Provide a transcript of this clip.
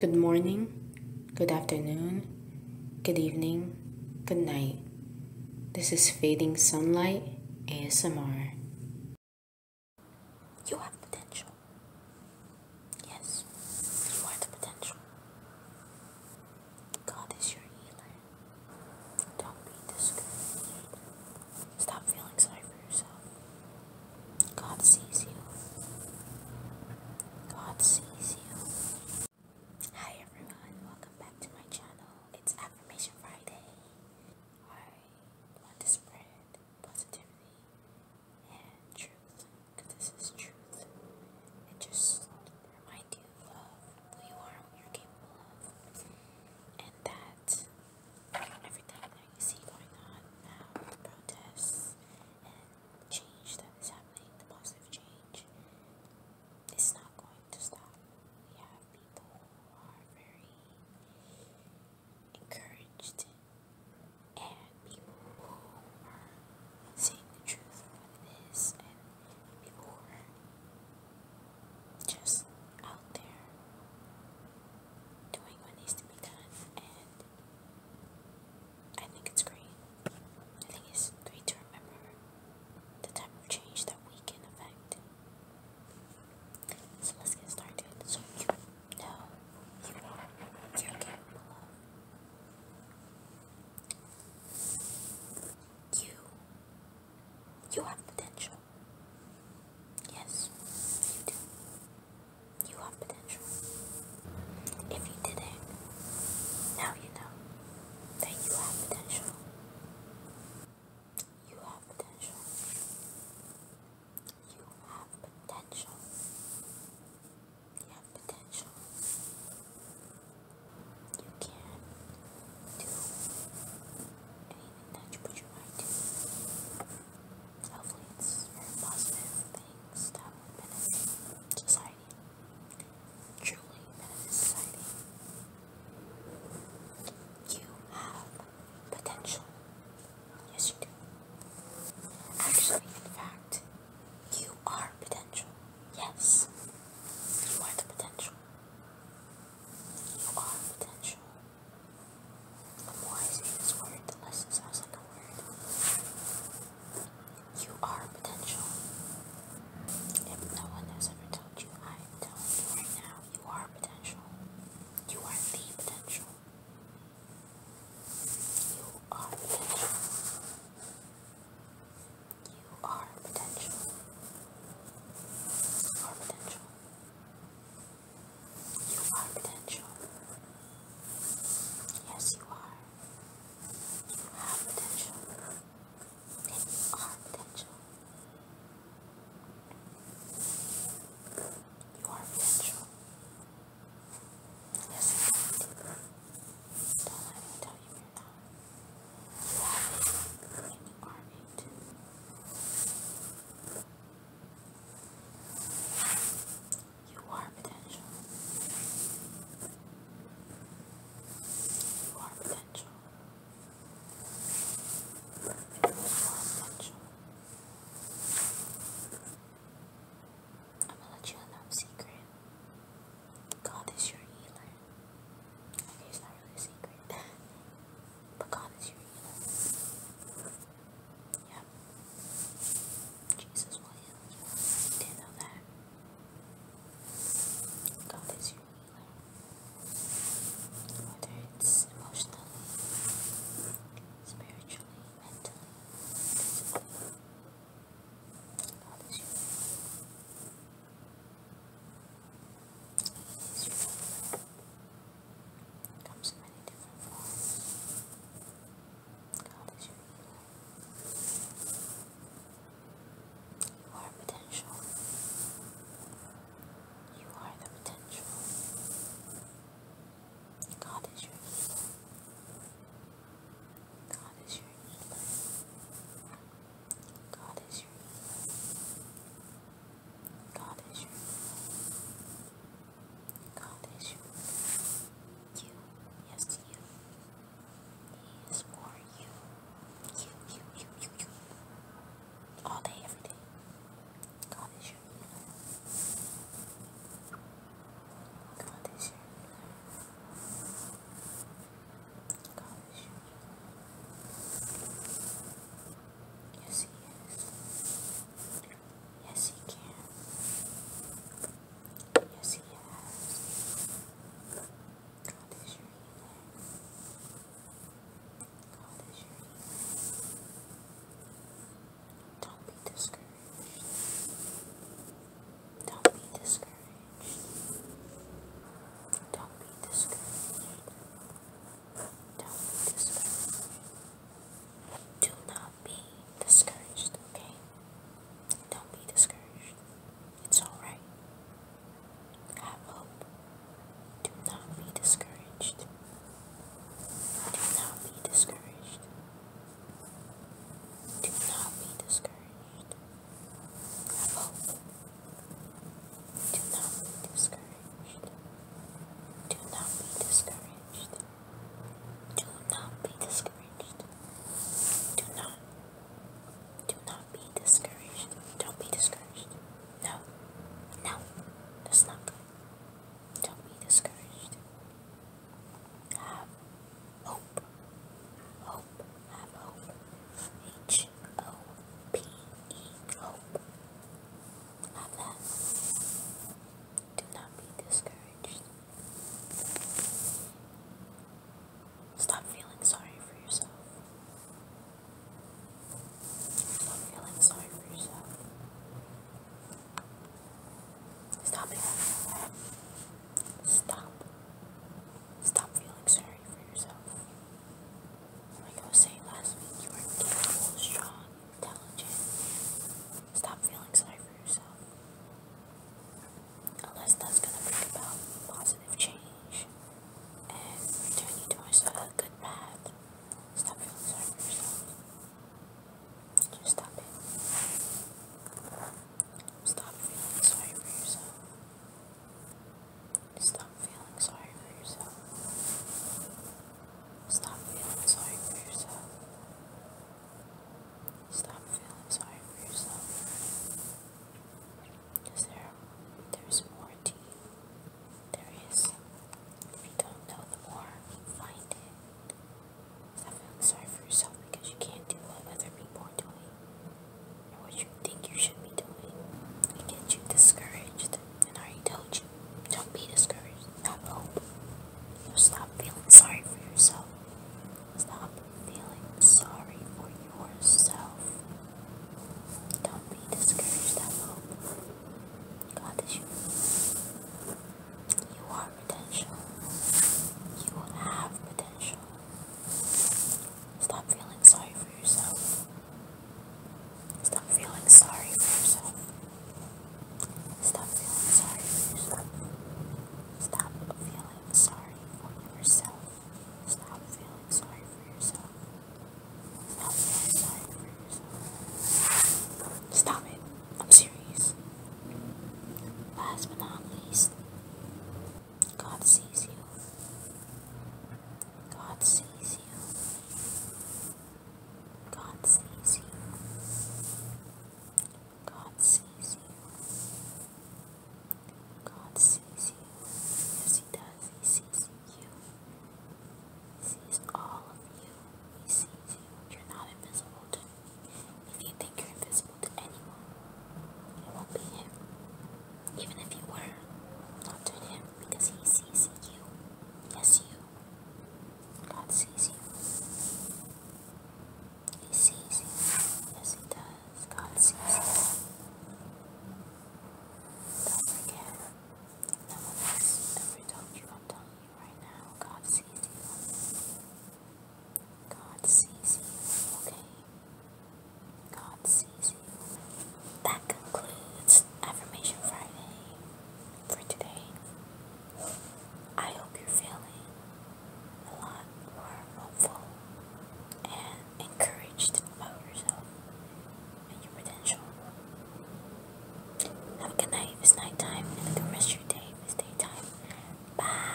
Good morning, good afternoon, good evening, good night. This is Fading Sunlight ASMR. You have potential. Yes, you are the potential. God is your healer. Don't be discouraged. Stop feeling sorry for yourself. God sees you. God sees you. Hi everyone, welcome back to my channel. It's Affirmation Friday. I want to spread positivity and truth because this is truth. And just remind you of who you are, what you're capable of, and that everything that you see going on now, uh, protests and change that is happening, the positive change, is not going to stop. We have people who are very encouraged and people who are saying the truth for what it is and people who are just out there doing what needs to be done and I think it's great. I think it's great to remember the type of change that we can affect. So let's get started. So you know you are caregiver You you have potential. Yes, you do. You have potential. If you didn't, now you know that you have potential. You have potential. You have potential. You have potential. You can do anything that you put your mind to. Hopefully, it's very that would benefit society, truly benefit society. You have potential. Yes, you do. Actually, in fact, you are potential. Yes, you are the potential. You are potential. The Why is it this word? The lesson sounds like a word. You are potential. If no one has ever told you, I'm telling you right now, you are potential. You are the potential. You are potential. You are potential. You are potential. You are potential. Yes, you are. You have potential. you are potential. You are potential. Yes, you are. Don't let me tell you you're You have it, you are it. You are potential. You are potential. You are potential. I'm gonna let you in know a secret. God is your healer. Okay, it's not really a secret. but God is your healer. Yeah. Jesus will heal you. not know that. God is your healer. Whether it's emotionally, spiritually, mentally, comes in many different forms. God is your healer. You are potential. You are the potential. God is your healer. God is your healer. God is your healer. God is your healer. College. You, yes, you. is for you. You, you, you, you, you. All day, every day. God is your God is your God is your healer. Yes, He is. Yes, he can. Yes, he has. God is your God is your Don't be discouraged. Don't be discouraged. Don't be discouraged. Don't be discouraged do not be discouraged, okay? Don't be discouraged. It's alright. Have hope. Do not be discouraged. Do not be discouraged. Do not be discouraged. Have hope. Do not be discouraged. Do not be discouraged. Do not be discouraged. Do not. Do not be discouraged. Don't be discouraged. No. No. That's not good. Don't be discouraged. Have hope. Hope. Have hope. H O P E. Hope. Have that. Do not be discouraged. Stop feeling sorry for yourself. Stop feeling sorry for yourself. Stop Stop. feeling sorry for yourself. Like I was last week, you are capable, strong, intelligent. Stop feeling sorry for yourself. Unless that's going to bring about positive change and return you towards a good path. Stop feeling sorry for yourself. Just stop it. Stop feeling sorry for yourself. Stop feeling sorry for yourself. Stop feeling sorry for yourself. Stop feeling sorry for yourself. Because there, there's more to you. There is. If you don't know the more, you find it. Stop feeling sorry for yourself because you can't do what other people are doing or what you think you should be doing. It gets you discouraged and are you told don't be discouraged. Have hope. Stop feeling sorry for yourself. Stop feeling sorry for yourself. Don't be discouraged. Have hope. God is you. You are potential. You have potential. Stop feeling sorry for yourself. Stop feeling sorry for yourself. Stop feeling sorry for yourself. Stop feeling sorry for yourself. Stop feeling sorry for yourself. Stop feeling sorry for yourself. Stop it. I'm serious. Last but not least, God sees you. God sees you. God sees you. God sees you. God sees you. Yes, He does. He sees you. He sees all of you. He sees you. You're not invisible to If you think you're invisible to anyone, it won't be Him. Even if you were, not to Him because He sees you. Yes, you. That's easy. He sees you. Yes, he does. God sees you. Don't forget. No one else ever told you. I'm telling you right now. God sees you. God sees you. Okay. God sees you. That concludes Affirmation Friday for today. I hope you're feeling a lot more hopeful and encouraged about yourself and your potential. Have a good night it's nighttime, and the rest of your day it's daytime. Bye.